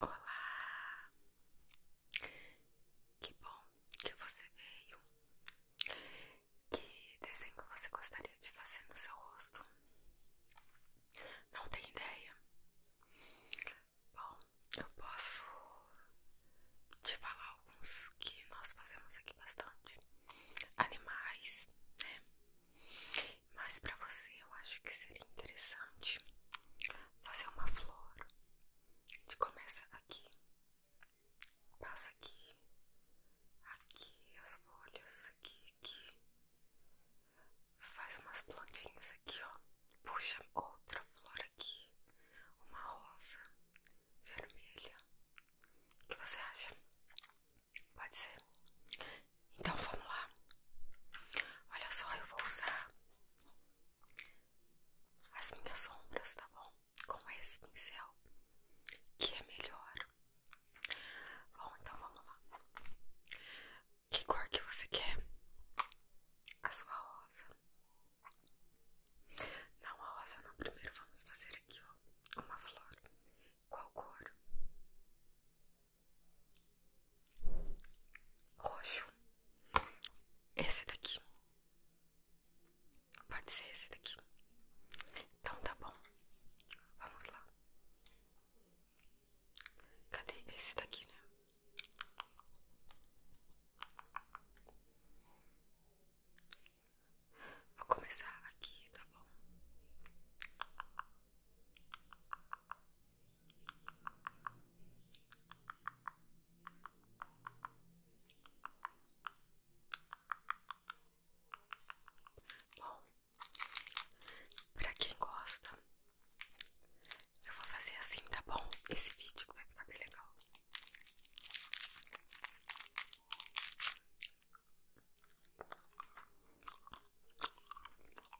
Olá! Que bom que você veio. Que desenho você gostaria de fazer no seu rosto? Não tem ideia? Bom, eu posso te falar alguns que nós fazemos aqui bastante. Animais, né? Mas para você eu acho que seria interessante fazer uma flor. A gente começa aqui, passa aqui, aqui as folhas, aqui, aqui. Faz umas plantinhas aqui, ó. Puxa outra flor aqui, uma rosa vermelha. O que você acha? Pode ser? Então vamos lá. Olha só, eu vou usar as minhas sombras, tá bom? Com esse pincel, que é melhor. Bom, então vamos lá. Que cor que você quer? A sua rosa. Não, a rosa não. Primeiro vamos fazer aqui, ó, uma flor. Qual cor? roxo. Esse daqui. Pode ser esse daqui. Então tá bom. Vamos lá. Cadê esse daqui, né? Vou começar aqui, tá bom? Bom, pra quem gosta, eu vou fazer assim, tá bom? Esse vídeo vai ficar bem legal.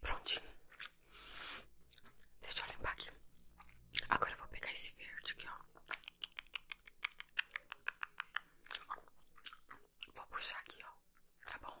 Prontinho. Deixa eu limpar aqui. Agora eu vou pegar esse verde aqui, ó. Vou puxar aqui, ó. Tá bom?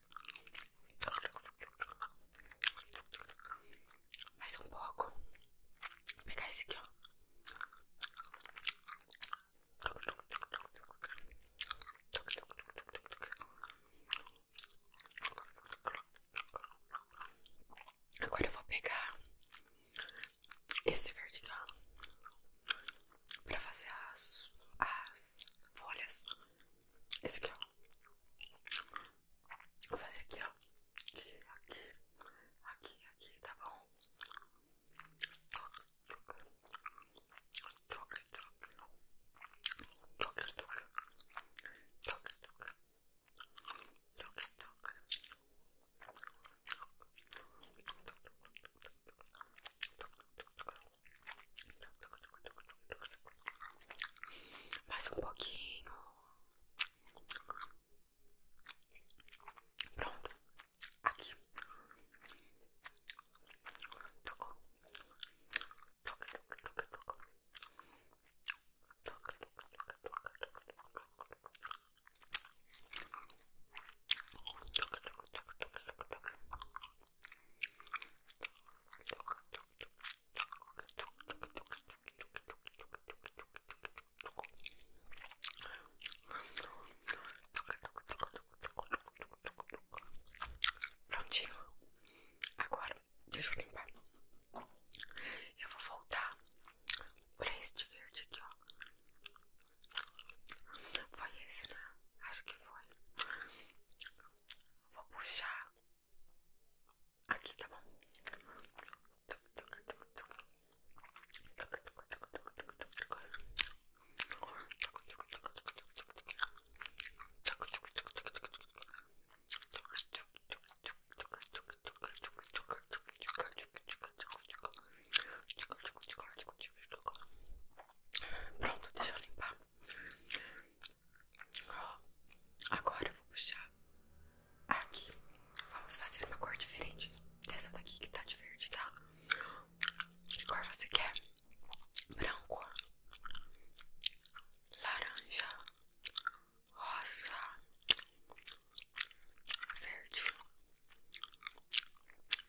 Mais um pouco. pegar esse aqui, ó. Agora eu vou pegar esse verde aqui, ó. Pra fazer as, as folhas. Esse aqui, ó. Vou fazer aqui, ó. Aqui, aqui, aqui, aqui, tá bom? Toca, toca. Toca, toca. Toca, toca. Toca, toca. Toca, toca. Toca, toca. Toca, toca. Mais um pouquinho. Pronto. Aqui. Tocou. Toca, toca, toca, toca. Toca, toca, toca, toca, toca, toca, toca. Toca, toca, toca, toca, toca, toca. Toca, toca, toca. Prontinho. Agora, deixa eu limpar. Eu vou voltar pra este verde aqui, ó. Foi esse, né? Acho que foi. Vou puxar Aqui, tá bom? Pronto, deixa eu limpar. Ó, agora eu vou puxar aqui. Vamos fazer uma cor diferente dessa daqui que tá de verde, tá? Que cor você quer? Branco, laranja, rosa, verde,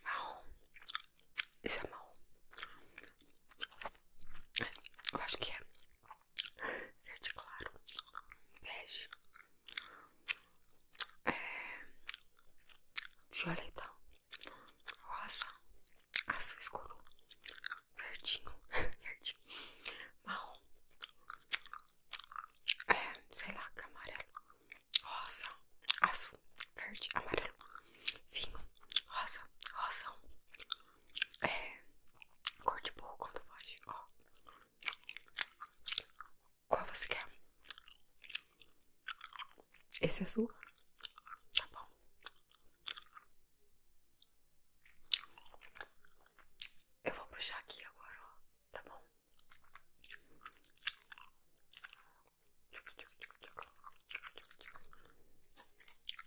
marrom. Isso é marrom. É, eu acho que é verde claro, bege, é, violeta, rosa, azul escuro, verdinho, verde, marrom, é, sei lá, é amarelo, rosa, azul, verde, amarelo, vinho, rosa, rosa. É. cor de pouco quando foge, ó. Qual você quer? Esse é azul? Tá bom. Eu vou puxar aqui agora, ó. Tá bom?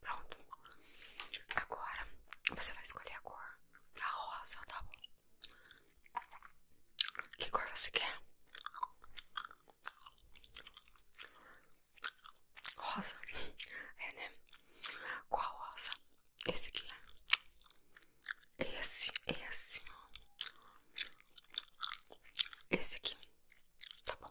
Pronto. Agora você vai escolher a cor. A rosa, tá bom? Que cor você quer? Rosa? É, né? Qual rosa? Esse aqui. Esse, esse. Esse aqui. Tá bom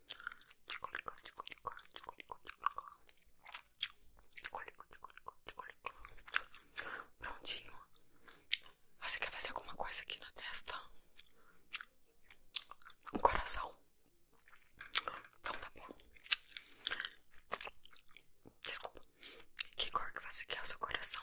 Prontinho. Você quer fazer alguma coisa aqui na testa? Um coração. Então tá bom. Desculpa. Que cor que você quer o seu coração?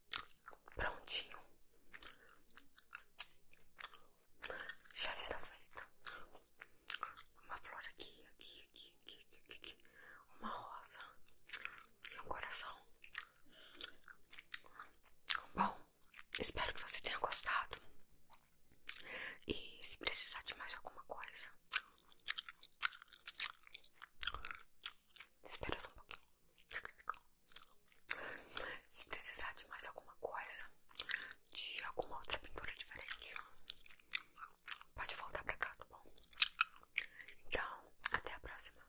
Prontinho. Já está feito. Uma flor aqui, aqui, aqui, aqui, aqui, Uma rosa. E um coração. Bom, espero que você tenha gostado. E se precisar de mais alguma coisa, espera só um pouquinho. Se precisar de mais alguma coisa, de alguma outra pintura diferente, pode voltar pra cá, tá bom? Então, até a próxima.